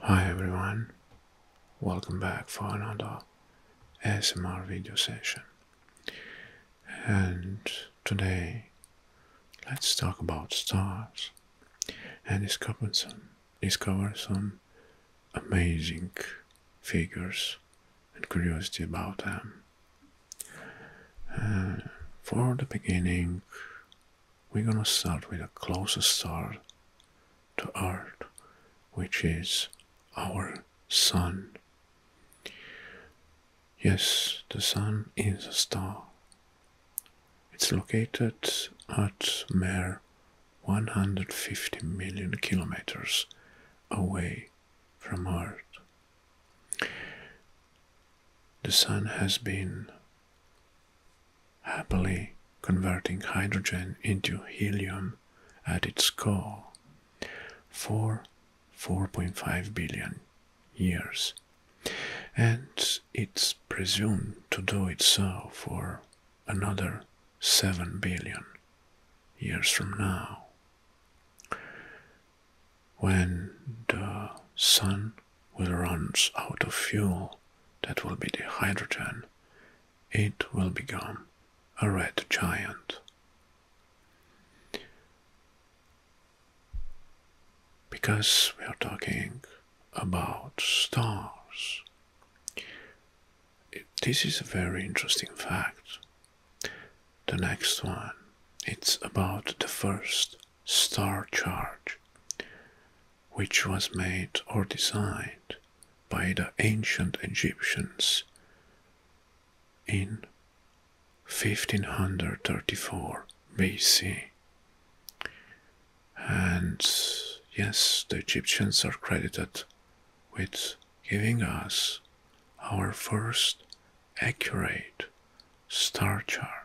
Hi everyone, welcome back for another ASMR video session. And today let's talk about stars and discover some, amazing figures and curiosity about them. Uh, for the beginning, we're going to start with the closest star to Earth, which is our Sun. Yes, the Sun is a star. It's located at mere 150 million kilometers away from Earth. The Sun has been happily converting hydrogen into helium at its core for 4.5 billion years, and it's presumed to do it so for another 7 billion years from now. When the Sun will runs out of fuel, that will be the hydrogen, it will become a red giant. Because we are talking about stars. This is a very interesting fact. The next one, it's about the first star chart, which was made or designed by the ancient Egyptians in 1534 BC. And yes, the Egyptians are credited with giving us our first accurate star chart.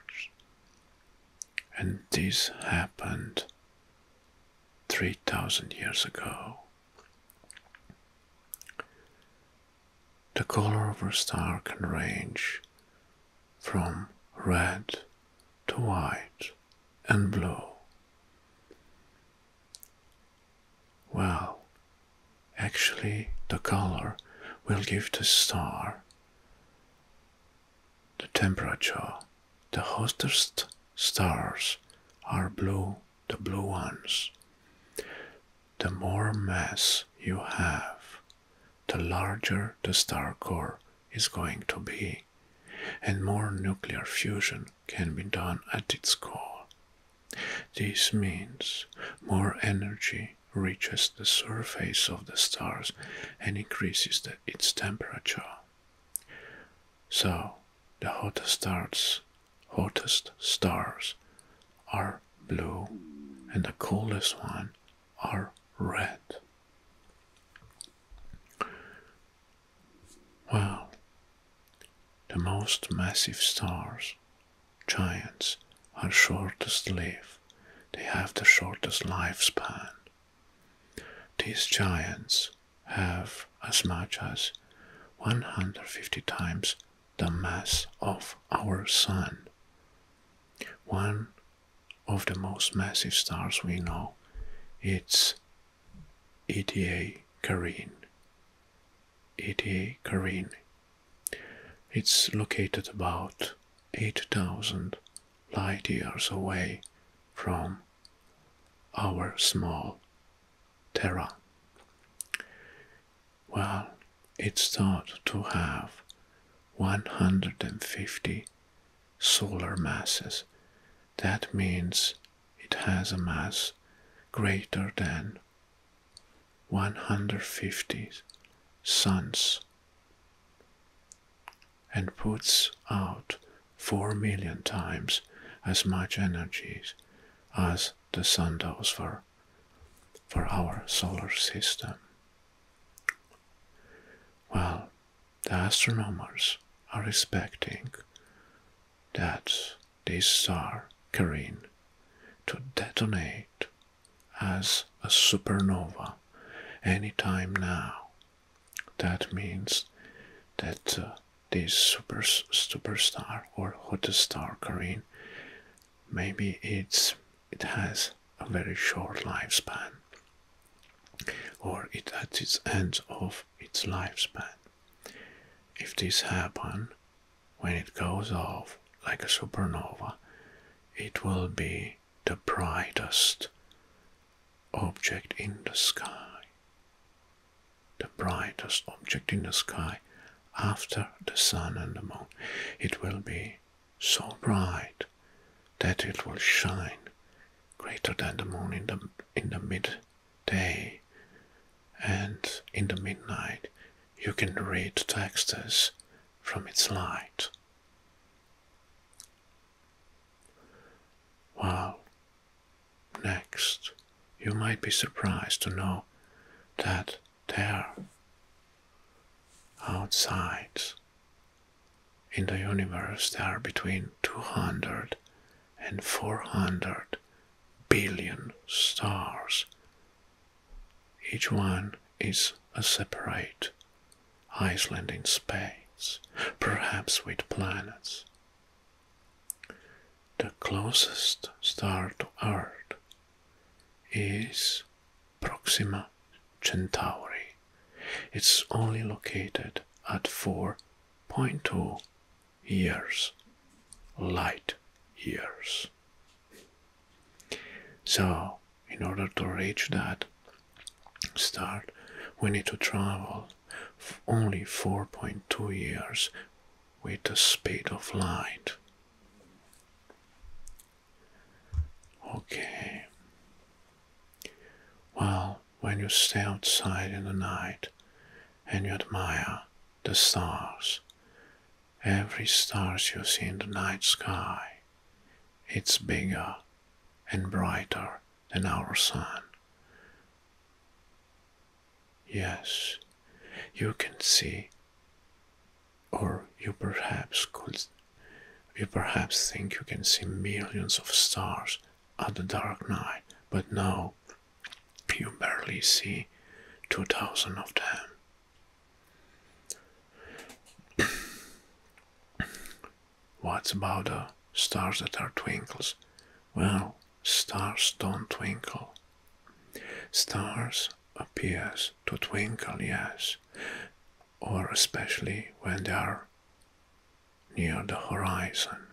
And this happened 3000 years ago. The color of a star can range from red to white and blue. Well, actually, the color will give the star the temperature, the hottest stars are blue, the blue ones. The more mass you have, the larger the star core is going to be, and more nuclear fusion can be done at its core. This means more energy reaches the surface of the stars and increases its temperature. So, the hottest stars, hottest stars are blue and the coolest ones are red. Well, the most massive stars Giants are shortest live; they have the shortest lifespan. These giants have as much as 150 times the mass of our Sun. One of the most massive stars we know, it's ETA Carinae. ETA Carinae it's located about 8,000 light years away from our small Terra. Well, it's thought to have 150 solar masses. That means it has a mass greater than 150 suns, and puts out 4 million times as much energy as the sun does for, for our solar system. Well, the astronomers are expecting that this star, Carine, to detonate as a supernova anytime now. That means that uh, this super superstar or hot star Karin, maybe it's it has a very short lifespan, or it at its end of its lifespan. If this happen, when it goes off like a supernova, it will be the brightest object in the sky. The brightest object in the sky after the sun and the moon. It will be so bright that it will shine greater than the moon in the, in the midday and in the midnight you can read texts from its light. Wow. Next, you might be surprised to know that there, outside, in the universe, there are between 200 and 400 billion stars. Each one is a separate Iceland in space, perhaps with planets. The closest star to Earth is Proxima Centauri. It's only located at 4.2 years, light years. So, in order to reach that start, we need to travel only 4.2 years with the speed of light. Okay. Well, when you stay outside in the night and you admire the stars, Every star you see in the night sky, it's bigger and brighter than our sun. Yes, you can see, or you perhaps could, you perhaps think you can see millions of stars at the dark night, but no, you barely see 2,000 of them. what about the stars that are twinkles? Well, stars don't twinkle. Stars appear to twinkle, yes, or especially when they are near the horizon.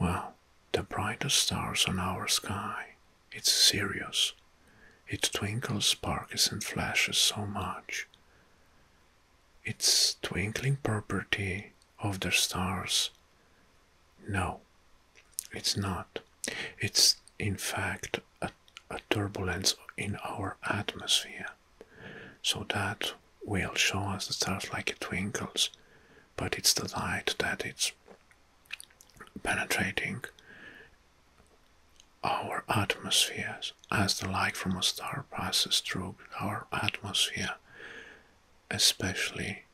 Well, the brightest stars on our sky, it's Sirius. It twinkles, sparkles, and flashes so much. Its twinkling property of the stars. No, it's not. It's in fact a, turbulence in our atmosphere. So that we will show us the stars like it twinkles, but it's the light that it's penetrating our atmospheres as the light from a star passes through our atmosphere, especially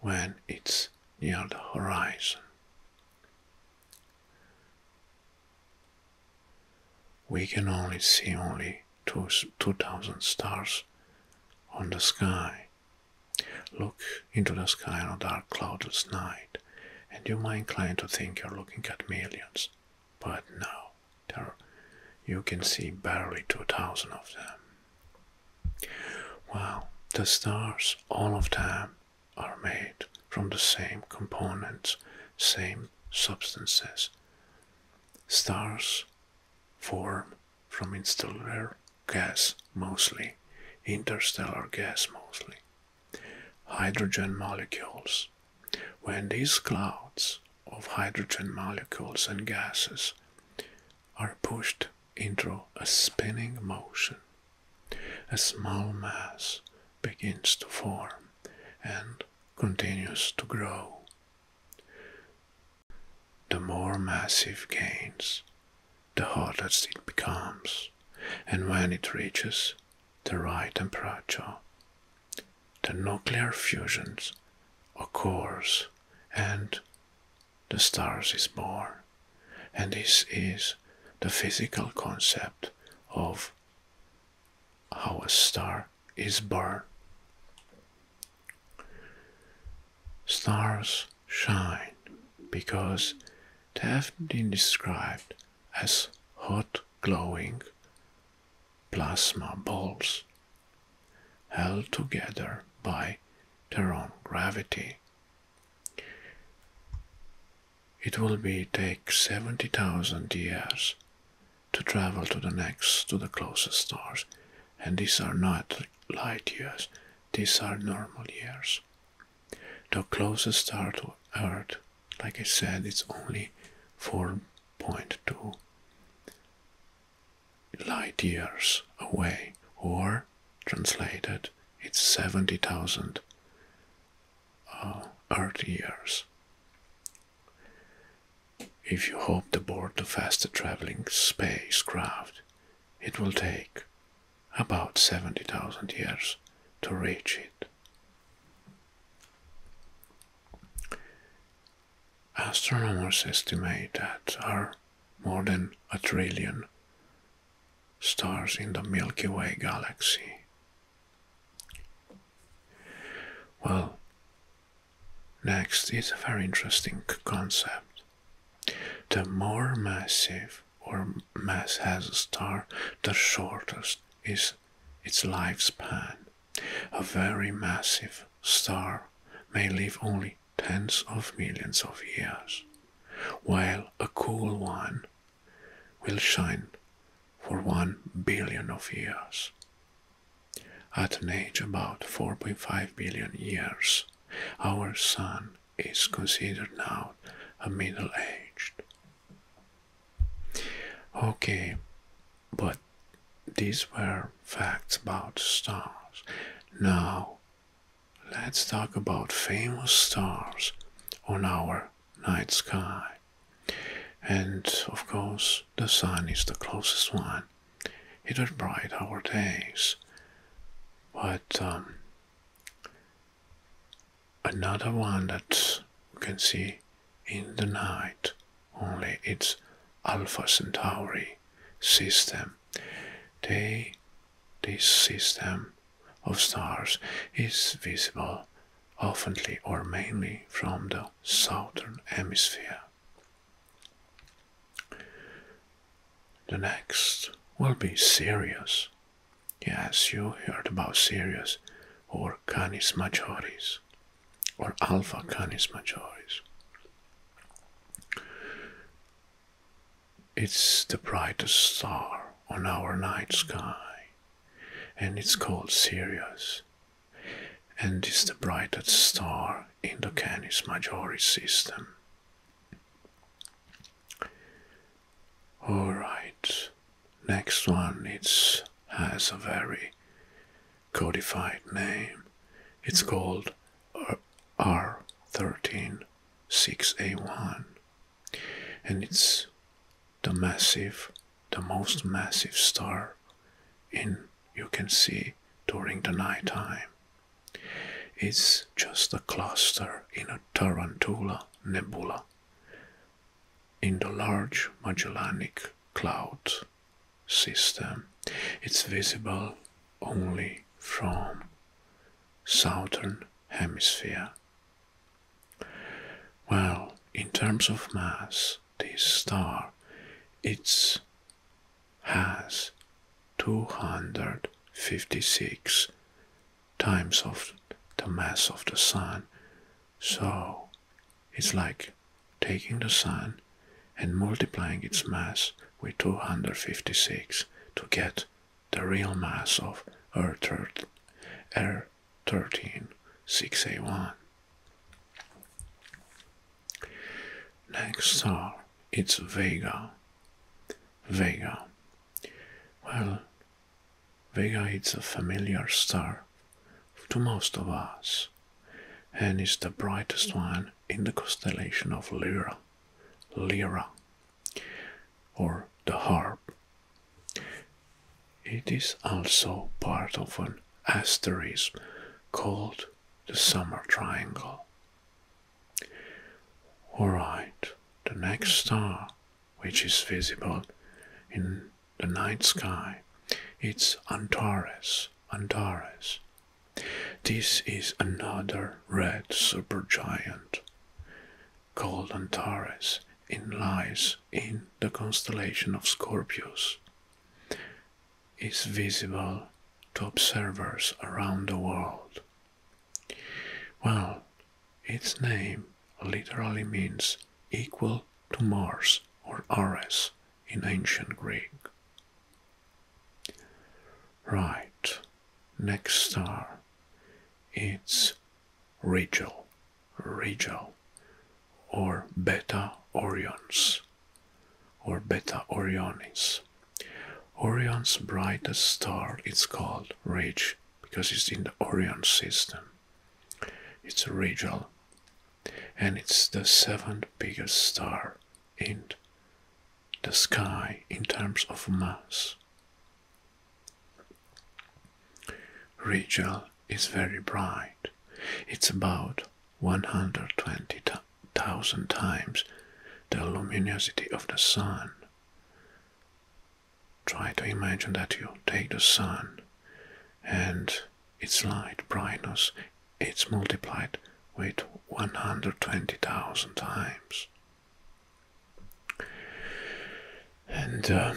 when it's near the horizon. We can only see only 2000 stars on the sky Look into the sky on a dark, cloudless night, and you might incline to think you're looking at millions. But no, there, you can see barely 2,000 of them. Well, the stars, all of them, are made from the same components, same substances. Stars form from interstellar gas mostly, interstellar gas mostly, hydrogen molecules. When these clouds of hydrogen molecules and gases are pushed into a spinning motion, a small mass begins to form and continues to grow. The more massive gains, the harder it becomes, and when it reaches the right temperature, the nuclear fusion's occurs and the stars is born. And this is the physical concept of how a star is born. Stars shine because they have been described as hot glowing plasma balls held together by their own gravity. It will be take 70,000 years to travel to the next to the closest stars and these are not light years, these are normal years. The closest star to Earth, like I said, it's only 4.2 light years away, or translated, it's 70,000 uh, Earth years. If you hope to board the faster traveling spacecraft, it will take about 70,000 years to reach it. Astronomers estimate that there are more than a trillion stars in the Milky Way galaxy. Well, Next is a very interesting concept. The more massive or mass has a star, the shorter is its lifespan. A very massive star may live only tens of millions of years, while a cool one will shine for one billion of years. At an age about 4.5 billion years, our Sun is considered now a middle aged. Okay, but these were facts about stars. Now, let's talk about famous stars on our night sky. And of course, the sun is the closest one on. It would brighten our days. But um, another one that you can see in the night, only it's Alpha Centauri system. this system of stars is visible oftenly or mainly from the southern hemisphere. The next will be Sirius. Yes, you heard about Sirius or Canis Majoris or Alpha Canis Majoris. It's the brightest star on our night sky and it's called Sirius and is the brightest star in the Canis Majori system. Alright, next one it has a very codified name. It's called R136A1 and it's the massive, the most massive star in you can see during the night time. It's just a cluster in a Tarantula nebula in the Large Magellanic Cloud system. It's visible only from southern hemisphere. Well, in terms of mass, this star, it's has 256 times of the mass of the sun. So it's like taking the sun and multiplying its mass with 256 to get the real mass of Earth, Earth, Earth 13681. Next star, it's Vega. Vega. Well, Vega is a familiar star to most of us and is the brightest one in the constellation of Lyra, Lyra, or the harp. It is also part of an asteroids called the Summer Triangle. Alright, the next star which is visible in the night sky it's Antares. Antares. This is another red supergiant called Antares. It lies in the constellation of Scorpius is visible to observers around the world. Well, its name literally means equal to Mars or Ares in ancient Greek. Right, next star. It's Rigel, Rigel, or Beta Orions or Beta Orionis. Orion's brightest star It's called Reg because it's in the Orion system. It's regal and it's the seventh biggest star in the sky in terms of mass. Regal is very bright. It's about 120,000 times the luminosity of the sun. Try to imagine that you take the sun and its light brightness it's multiplied with 120,000 times. And uh,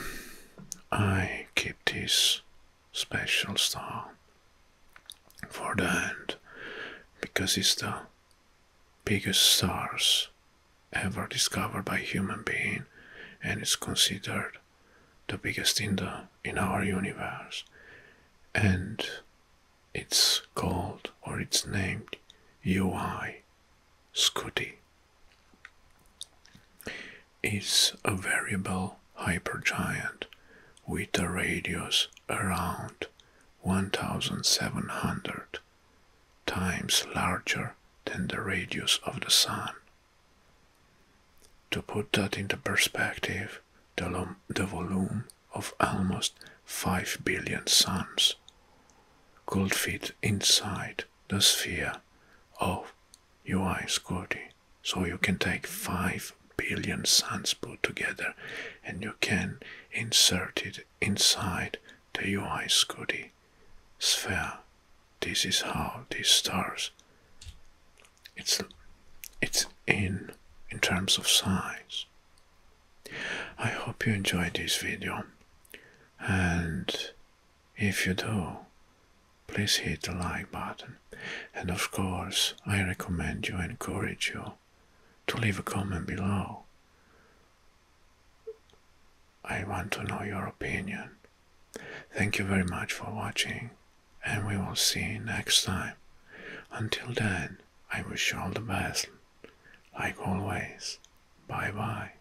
I keep this special star for the end because it's the biggest stars ever discovered by human being and it's considered the biggest in the in our universe and it's called or it's named UI Scuti is a variable hypergiant with a radius around 1700 times larger than the radius of the Sun. To put that into perspective, the, volume of almost 5 billion suns could fit inside the sphere of UI Scotty. So you can take 5 billion suns put together and you can insert it inside the UI Scudi sphere. This is how these stars it's it's in in terms of size. I hope you enjoyed this video and if you do, please hit the like button. And of course, I recommend you, encourage you to leave a comment below. I want to know your opinion. Thank you very much for watching and we will see next time. Until then, I wish you all the best. Like always, bye bye.